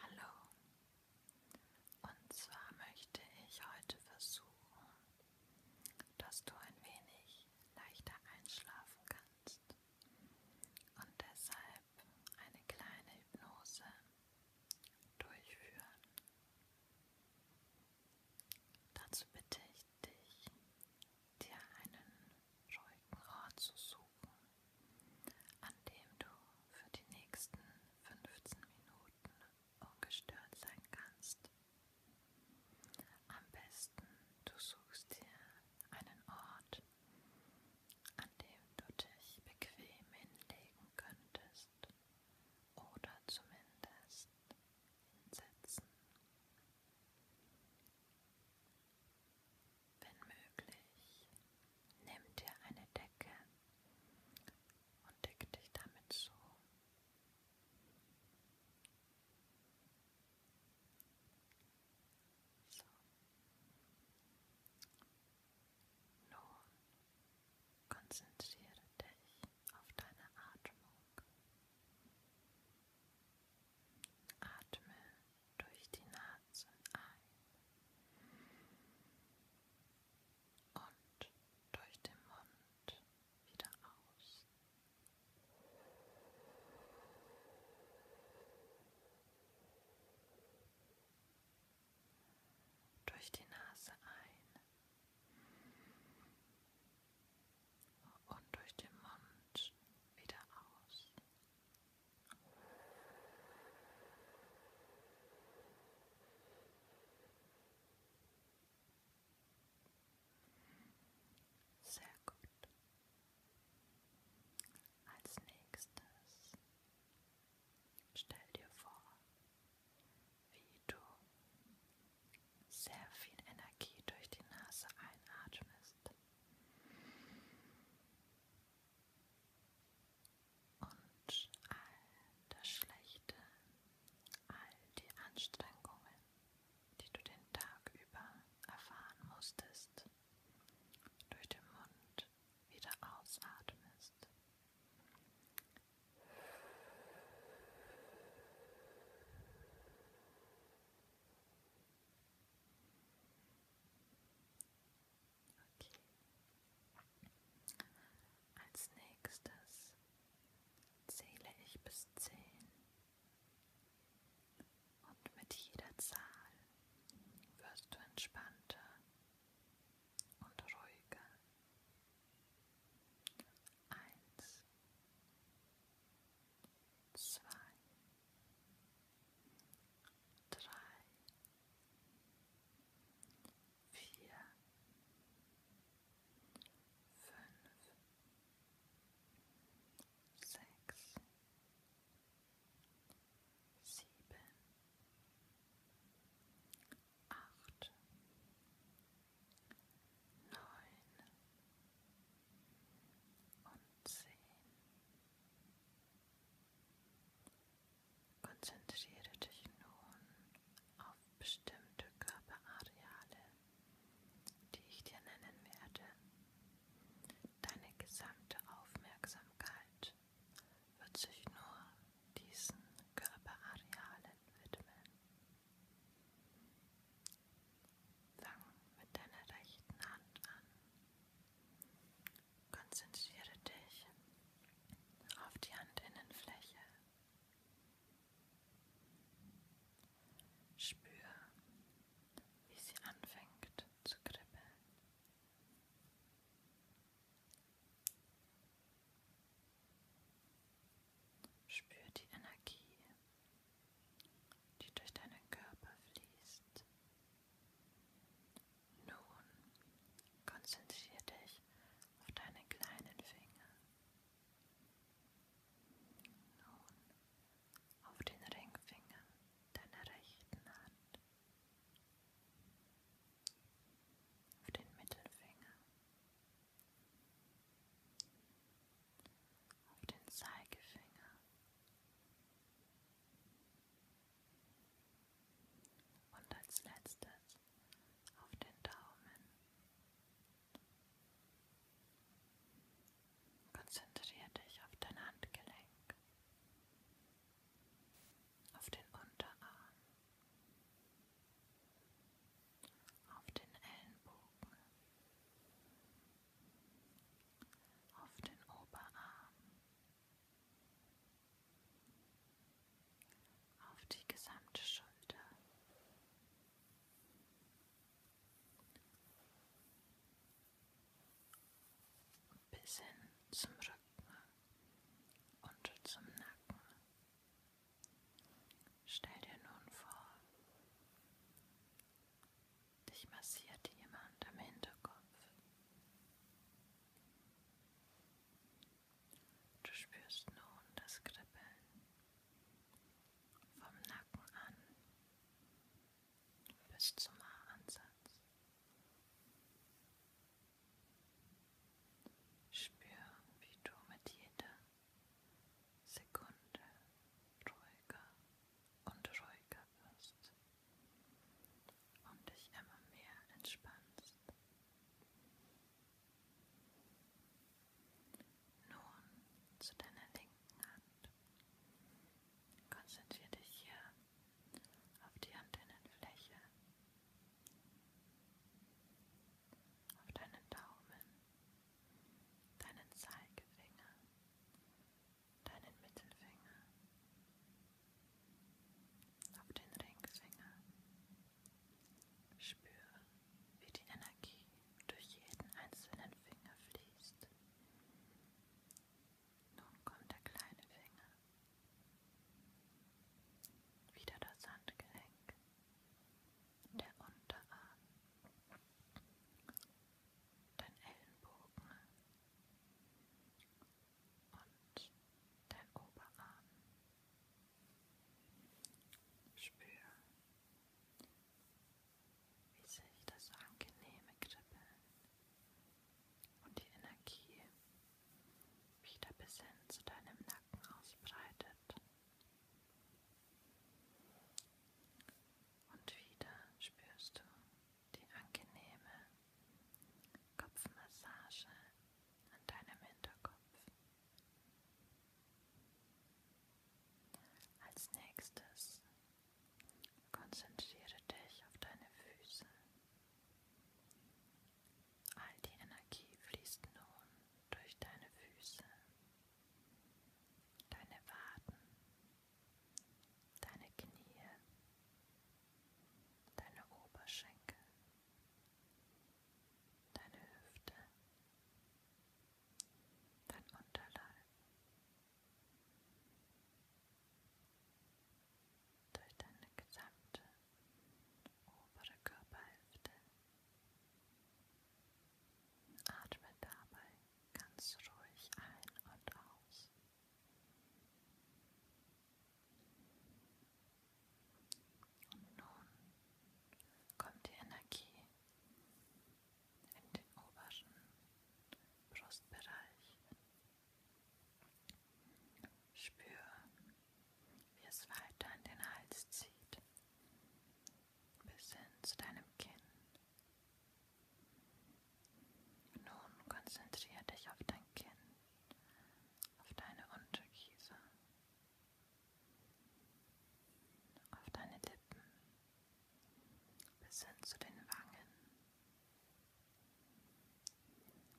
Hallo. Und zwar möchte ich heute versuchen, dass du ein wenig leichter einschlafen kannst. Und deshalb eine kleine Hypnose durchführen. Dazu bitte ich dich, dir einen ruhigen Ort zu suchen, an dem du für die nächsten 15 Minuten ungestört sein kannst. Am besten du suchst dir einen Ort, an dem du dich bequem hinlegen könntest oder zumindest hinsetzen. Wenn möglich, nimm dir eine Decke und deck dich damit zu. So. Nun konzentriere dich auf deine Atmung. Atme durch die Nase ein und durch den Mund wieder aus. Durch die Nase ein und durch den Mund wieder aus. Sehr gut. Als nächstes stell dir vor, wie du sehr viel Energie durch die Nase einatmest und all das Schlechte, all die Anstrengungen, die du den Tag über erfahren musstest, durch den Mund wieder ausatmest. Und Okay. Als nächstes zähle ich bis zehn und mit jeder Zahl wirst du entspannter und ruhiger. Eins, zwei, drei, vier, fünf, sechs, sieben, acht, neun und zehn. Konzentriere dich nun auf bestimmte Körperareale, die ich dir nennen werde. Deine gesamte Aufmerksamkeit wird sich nur diesen Körperarealen widmen. Fang mit deiner rechten Hand an. Konzentriere dich auf die Handinnenfläche. Spür, wie sie anfängt zu kribbeln. Spür die Energie, die durch deinen Körper fließt. Nun konzentriere dich auf deinen kleinen Finger. Nun auf den Ringfinger deiner rechten Hand, auf den Mittelfinger auf halt den Zeigefinger und als letztes auf den Daumen. Konzentriere dich auf dein Handgelenk, auf den Unterarm auf den Ellenbogen, auf den Oberarm, auf die gesamte Schulter. Bis hin zum Rücken und zum Nacken. Stell dir nun vor, dich massiert jemand am Hinterkopf. Du spürst nun das Kribbeln vom Nacken an bis zum Haaransatz. Spür, wie du mit jeder Sekunde ruhiger und ruhiger wirst und dich immer mehr entspannst. Nun zu deiner linken Hand. Konzentriere dich hier auf die Antennenfläche auf deinen Daumen, deinen Zeigefinger, deinen Mittelfinger, auf den Ringfinger. Spüre, wie die Energie durch jeden einzelnen Finger fließt. Nun kommt der kleine Finger. Wieder das Handgelenk, der Unterarm, dein Ellenbogen und dein Oberarm. Spür, wie sich das angenehme Kribbeln und die Energie wieder bis hin zu deinem Nacken ausbreitet. Und wieder spürst du die angenehme Kopfmassage an deinem Hinterkopf. Als nächstes konzentriere dich auf deine Füße. All die Energie fließt nun durch deine Füße, deine Waden, deine Knie, deine Oberschenkel, deine Hüfte, dein Unterleib durch deine gesamte obere Körperhälfte. Atme dabei ganz ruhig ein und aus. Und nun kommt die Energie in den oberen Brustbereich Spür, wie es weiter in den Hals zieht, bis hin zu deinem Kinn. Nun konzentriere dich auf dein Kinn, auf deine Unterkiefer, auf deine Lippen, bis hin zu den Wangen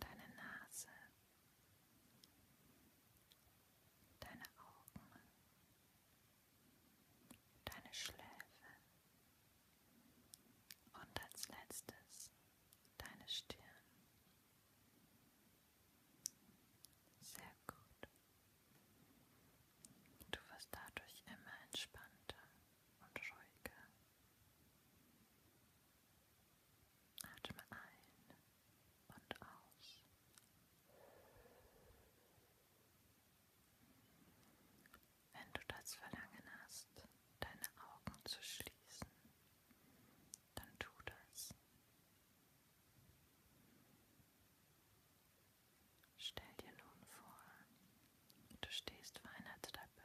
deine Nase, deine Augen, deine Schläfe und als letztes deine Stirn. Sehr gut. Du wirst dadurch immer entspannter und ruhiger. Atme ein und aus. Wenn du das Verlangen hast, deine Augen zu schließen, dann tu das. Stell dir nun vor, du stehst vor einer Treppe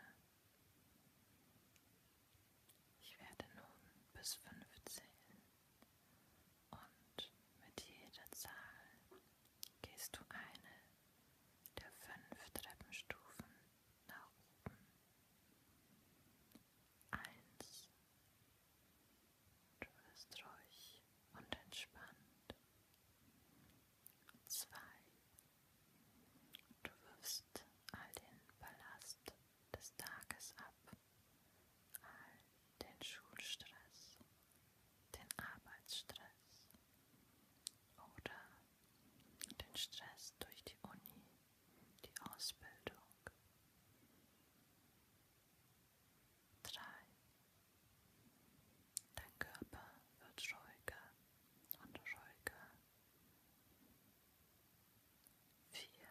ich werde nun bis fünf zählen und mit jeder Zahl gehst du eine der fünf Treppenstufen nach oben. Eins. Du wirst ruhig und entspannt. Zwei. Du wirfst all den Ballast des Tages ab, all den Schulstress, den Arbeitsstress oder den Stress durch die Uni, die Ausbildung. Drei Dein Körper wird scheuger und scheuger. Vier.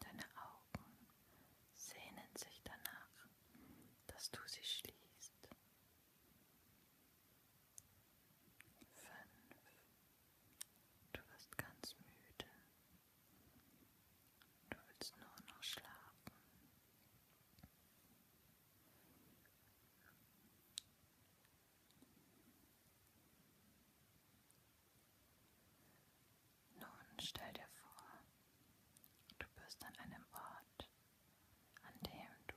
Deine Augen sehnen sich danach, dass du sie schließt. Fünf. Du wirst ganz müde. Du willst nur noch schlafen. Nun stell dir vor, du bist an einem Ort, an dem du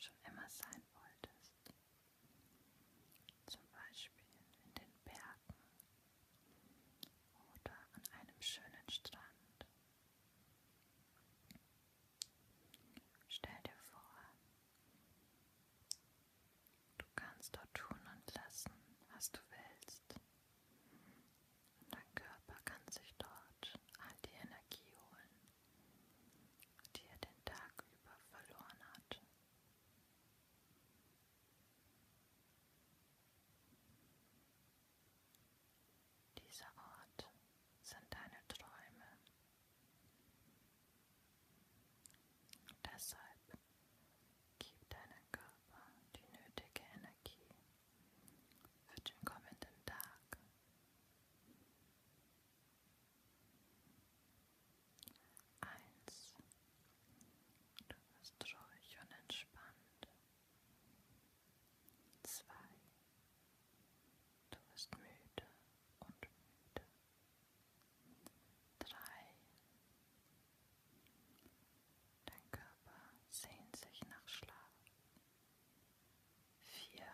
schon immer sein wolltest. Zum Beispiel in den Bergen oder an einem schönen Strand. Stell dir vor, du kannst dort tun und lassen, was du willst. Und dein Körper kann sich dort all die Energie holen, die er den Tag über verloren hat. Dieser Ort sind deine Träume. Deshalb gib deinem Körper die nötige Energie für den kommenden Tag. Eins Du wirst ruhig und entspannt. Zwei. Du wirst müde und müde. Drei. Dein Körper sehnt sich nach Schlaf. Vier.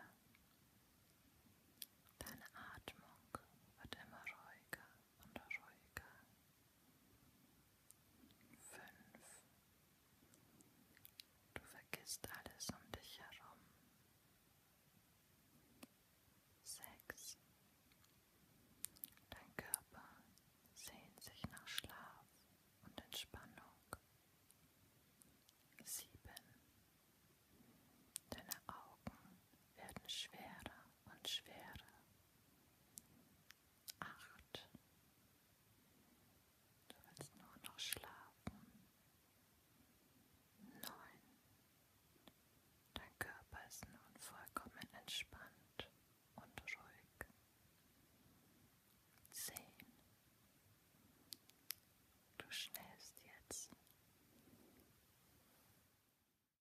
Deine Atmung wird immer ruhiger und ruhiger. Fünf. Du vergisst alles um dich herum. Sechs. Dein Körper sehnt sich nach Schlaf und Entspannung. Sieben. Deine Augen werden schwerer und Schwere. Acht. Du willst nur noch schlafen. Neun. Dein Körper ist nun vollkommen entspannt und ruhig. Zehn. Du schläfst jetzt.